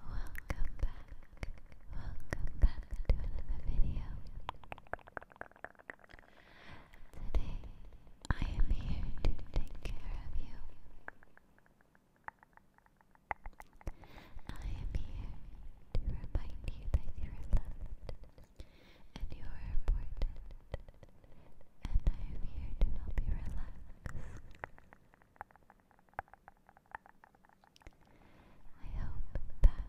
Welcome back, welcome back to another video. Today I am here to take care of you. I am here to remind you that you are loved and you are important, and I am here to help you relax. I hope that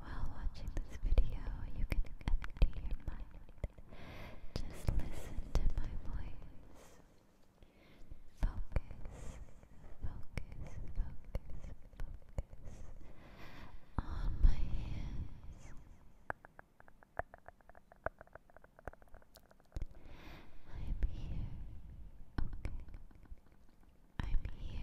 while watching this video you can empty your mind. Just listen to my voice. Focus, focus, focus, focus on my hands. I'm here. Okay. I'm here. Try to relax. Try to relax for me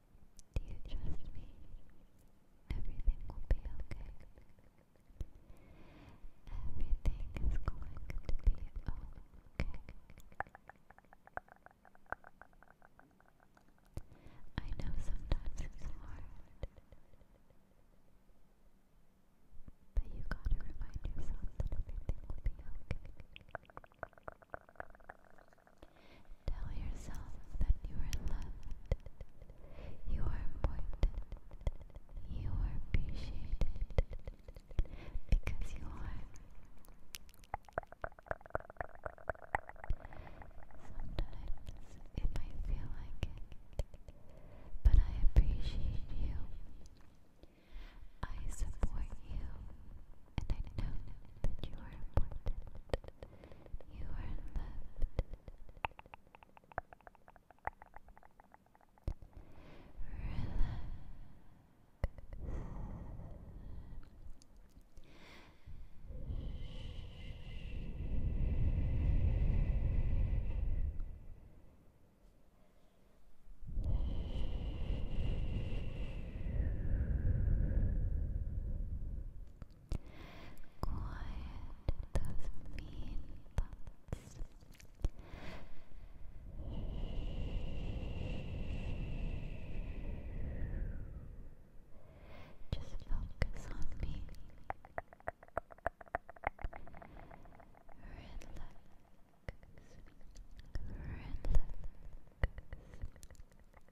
Do you trust me? Everything will be okay. Everything is going to be okay. I know sometimes it's hard, but you gotta remind yourself that everything will be okay. Tell yourself that you are loved, you are important, you are appreciated, because you are. Sometimes it might feel like it, but I appreciate you. I support you, and I know that you are important. You are loved. Relax. Relax. Quiet those mean thoughts. Just focus on me. Relax. Relax.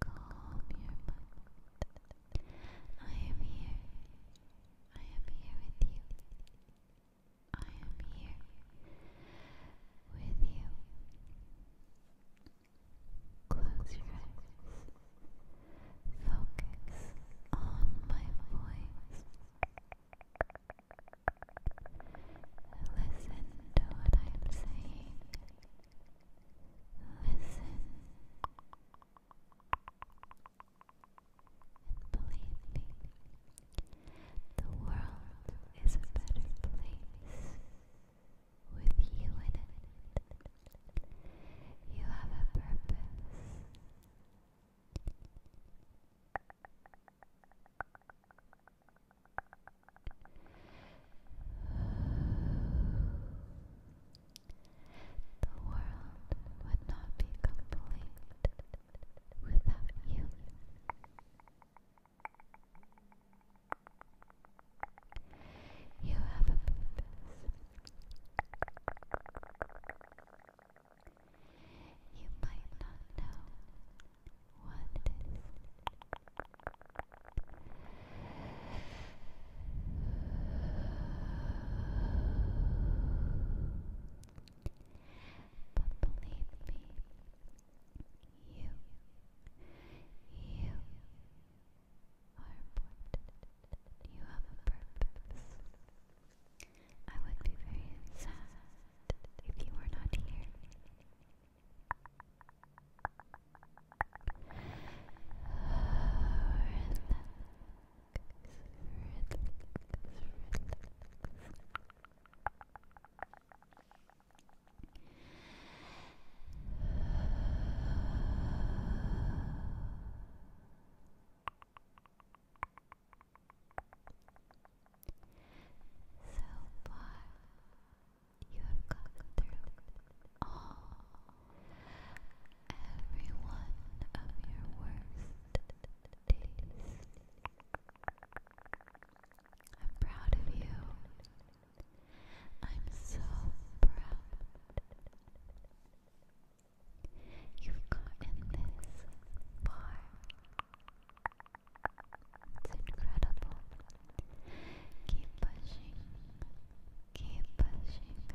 Calm your mind. I am here. I am here with you. I am here with you. Close your eyes. Focus on my voice. Listen to what I'm saying. Listen. And believe me, the world is a better place with you in it. You have a purpose. The world would not be complete without you. You have a purpose. You might not know what it is. But believe me, you, you, are You have a purpose. I would be very sad if you were not here far, you have gone through all, every one of your worst days. I'm proud of you. I'm so proud. You've gotten this far. It's incredible. Keep pushing. Keep pushing.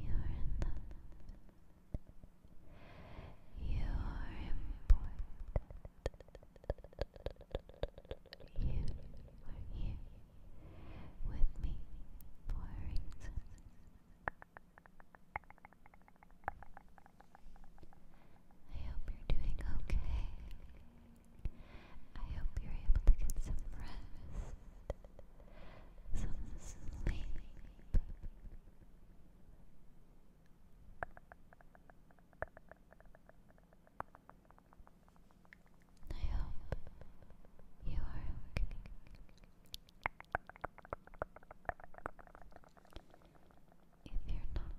You are loved. You are important. You are here with me for a I hope you're doing okay. I hope you're able to get some rest, some sleep. I hope you are okay. If you're not,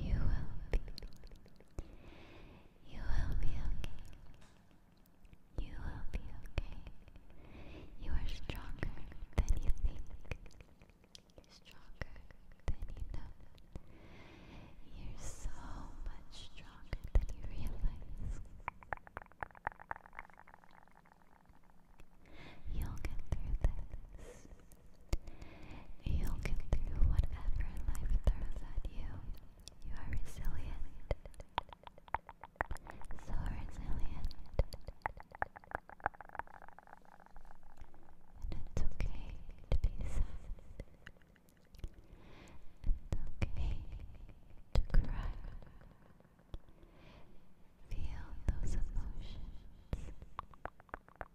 you will be. You will be okay. You will be okay. You are stronger than you think. Stronger than you know. You're so much stronger than you realize. You'll get through this. You can do whatever life throws at you. You are resilient. So resilient. it's okay to be sad. It's okay to cry. Feel those emotions. You are so strong.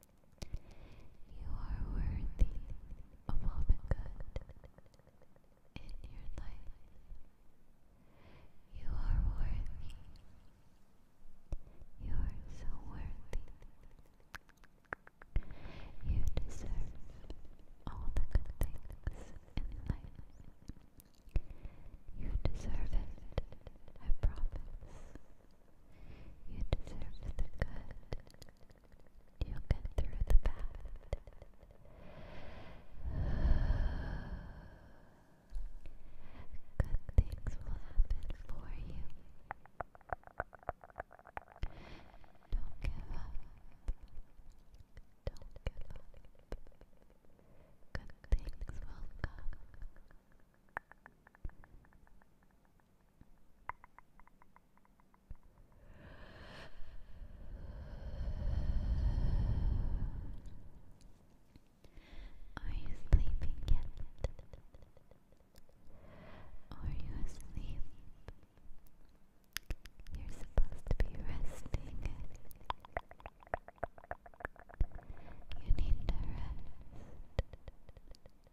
You are worthy of all the good in your life. You are worthy. You are so worthy. You deserve all the good things in life. You deserve it, I promise. You deserve the good. You'll get through the bad. Good things will happen for you. Don't give up. Don't give up. Good things will come. Are you sleeping yet? Are you asleep? You're supposed to be resting. You need to rest.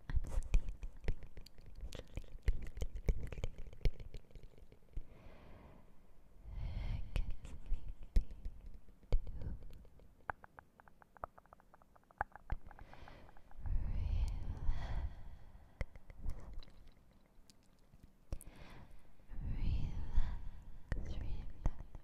I'm sleepy. I get sleepy too. Relax. Relax, relax, relax.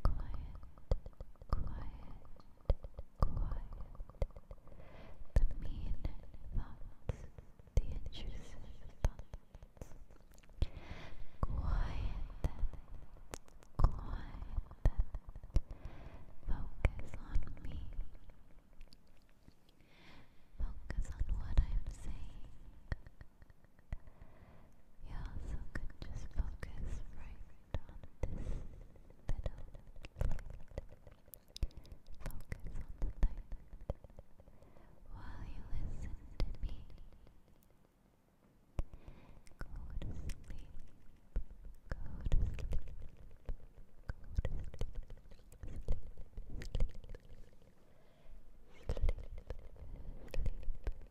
quiet. The mean thoughts, the intrusive thoughts. Quiet them, quiet them. Focus on me. Focus on what I'm saying. You also can just focus right on this little plate. Focus on the light while you listen to me. Go to sleep. Go to sleep. Go to sleep. Sleep. Sleep. Sleep. Sleep. Sleep.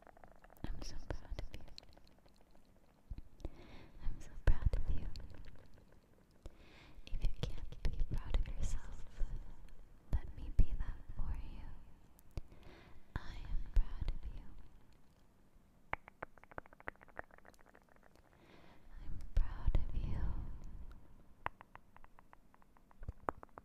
I'm so proud of you. I'm so proud of you. If you can't be proud of yourself, let me be that for you. I am proud of you. I'm proud of you.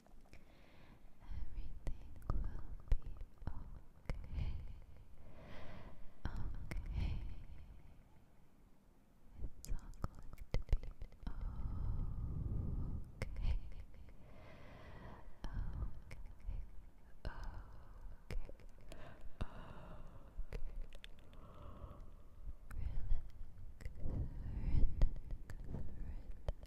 Everything will be okay. Okay. It's all going to be okay. Okay. Okay. Okay. Relax,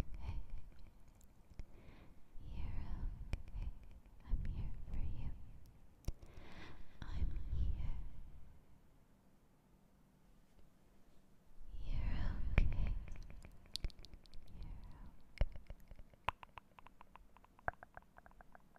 okay. You're okay. I'm here for you. I'm here. You're okay. You're okay.